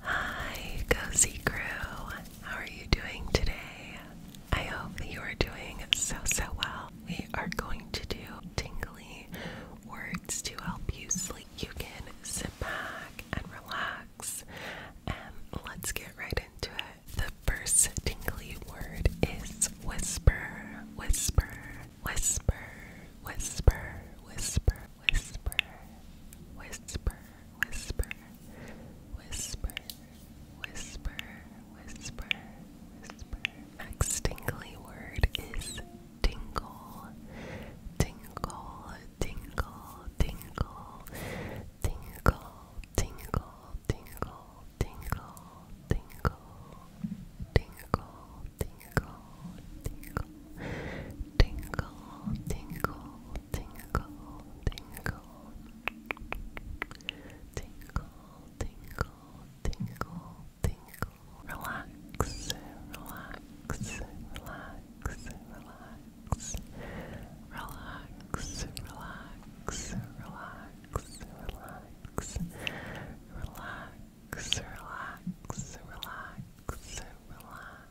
Hi, Cozy Crew. How are you doing today? I hope you are doing so, so well. We are going to do tingly words to help you sleep. You can sit back and relax, and let's get right into it. The first tingly word is whisper, whisper, whisper, whisper, whisper, whisper, whisper, whisper, whisper, whisper, whisper, whisper. Next tingly word is tingle, tingle, tingle, tingle, tingle, tingle, tingle, tingle, tingle, tingle, tingle, tingle, tingle, tingle, tingle, tingle, tingle, tingle, tingle, tingle. Relax, relax, relax, relax, relax, relax, relax, relax, relax. Relax, relax, relax, relax.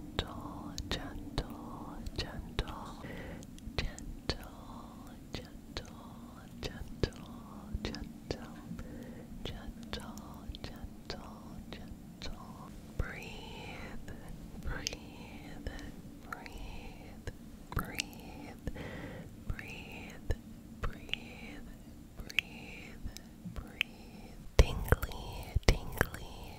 gentle, gentle, gentle, gentle, gentle, gentle, gentle, gentle, gentle, gentle. Breathe, breathe, breathe, breathe, breathe, breathe, breathe, breathe. Tingly, tingly,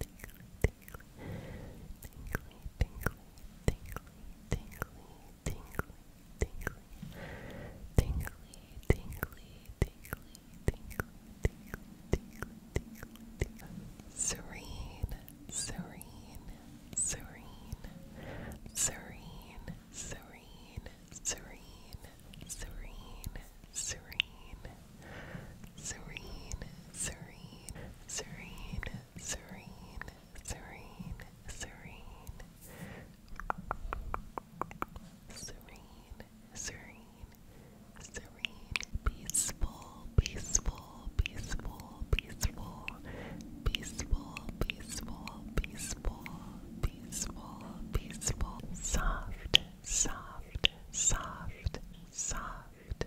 tingly, tingly, tingly, tingly, tingly, tingly, tingly, tingly, tingly, tingly, tingly, tingly, tingly, tingly, tingly, serene, serene, serene, serene, serene, serene, serene, serene serene, serene, serene, serene, serene, serene, serene, serene, serene, peaceful, peaceful, peaceful, peaceful, peaceful, peaceful, peaceful, peaceful, peaceful, soft, soft, soft, soft,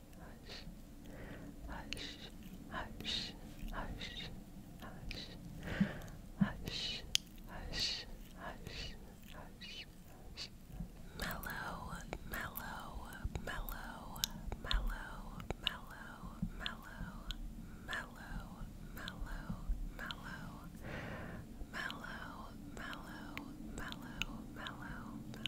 hush, hush, hush, hush, hush, hush, hush, hush, hush. Mellow, mellow, mellow, mellow, mellow, mellow, mellow, mellow, mellow, mellow, mellow, mellow, mellow, mellow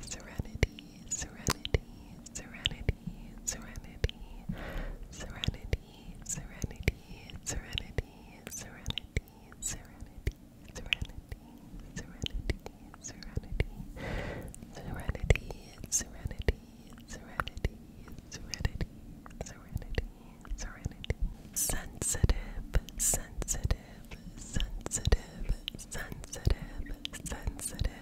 serenity, serenity, serenity, serenity, serenity, serenity, serenity, serenity, serenity, serenity, serenity, serenity, serenity, serenity, serenity, serenity, serenity, sensitive, sensitive, sensitive, sensitive, sensitive,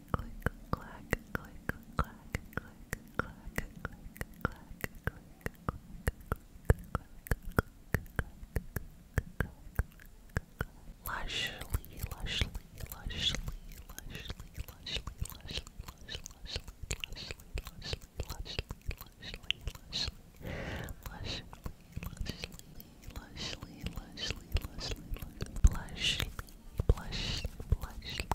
click, clack, click, clack, click, clack, click, clack, click, Lushly, lushly, lushly, lushly, lushly, lushly, lushly, lushly, lushly, lushly, lushly, lushly, lushly, lushly, lushly, lushly, lushly, lushly, blushly, blushly,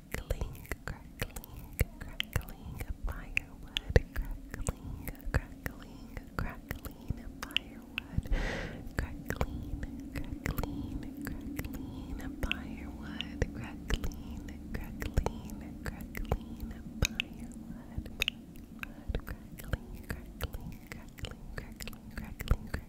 crackling, crackling, crackling firewood, crackling, crackling, crackling firewood, crackling, crackling, crackling firewood, crackling, crackling, crackling firewood, firewood, crackling, crackling, crackling, crackling, crackling, crackling.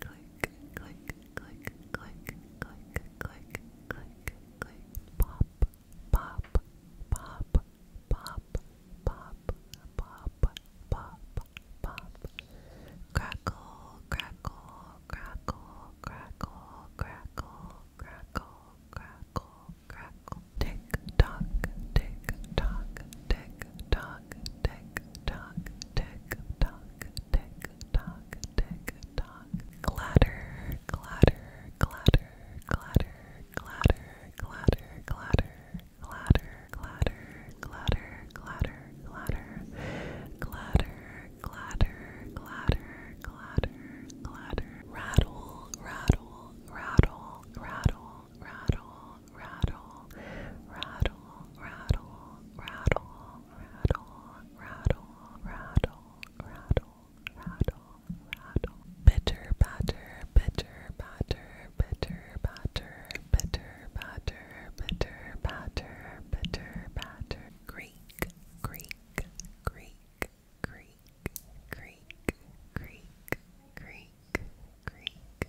click, click, click, click, click, click, click, click, pop, pop, pop, pop, pop, pop, pop, pop, crackle, crackle, crackle, crackle, crackle, crackle, crackle, crackle, tick tock, tick tock, tick tock, tick tock, tick tock, tick tock, tick tock. Clatter, clatter, clatter, clatter, clatter, clatter, clatter, clatter, clatter, clatter, clatter, clatter, clatter, clatter, clatter, clatter, clatter. Rattle, rattle, rattle, rattle, rattle rattle, rattle, rattle, rattle, rattle, rattle, rattle, rattle, rattle, rattle. Bitter batter, bitter batter, bitter batter, bitter batter, bitter batter, bitter batter. Greek, Greek, Greek, Greek, Greek, Greek, Greek, Greek,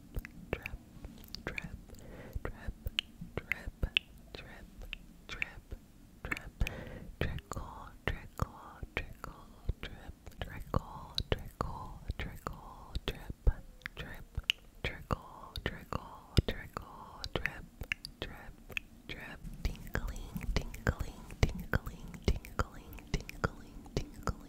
drip, drip, drip, drip, drip, drip, drip, trickle, trickle, trickle, drip, trickle, trickle, trickle, drip, drip, trickle, trickle, trickle, drip, drip, drip, tinkling, tinkling, tinkling, tinkling, tinkling, tinkling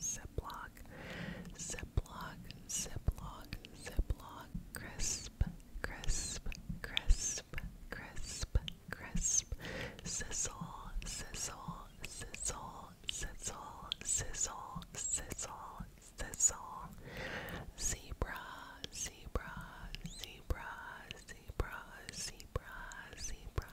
Ziplock, ziplock, ziplock, ziplock. Crisp, Crisp, Crisp, Crisp, Crisp, Sizzle, Sizzle, Sizzle, Sizzle, Sizzle, Sizzle, Sizzle, Zebra, Zebra, Zebra, Zebra, Zebra, Zebra,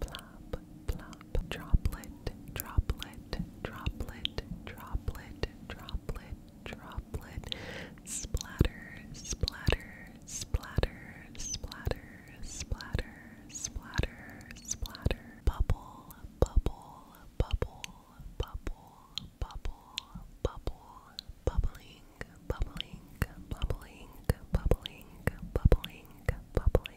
plop, plop, droplet, droplet, droplet, droplet, droplet, droplet, splatter, splatter, splatter, splatter, splatter, splatter, splatter, bubble, bubble, bubble, bubble, bubble, bubble, bubbling, bubbling, bubbling, bubbling, bubbling, bubbling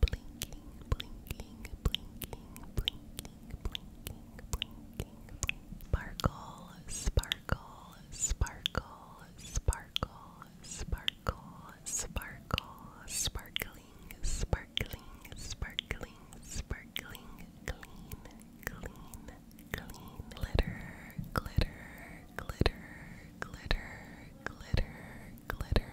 blinking, blinking, blinking, blinking, blinking, blinking, sparkle, sparkle, sparkle, sparkle, sparkle, sparkle, sparkling, sparkling, sparkling, sparkling, clean, clean, clean, glitter, glitter, glitter, glitter, glitter, glitter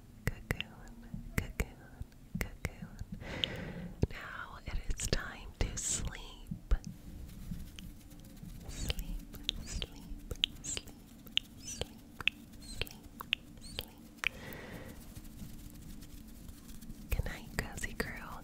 cocoon, cocoon, cocoon. Now it is time to sleep. Sleep, sleep, sleep, sleep, sleep, sleep. Good night, cozy crew.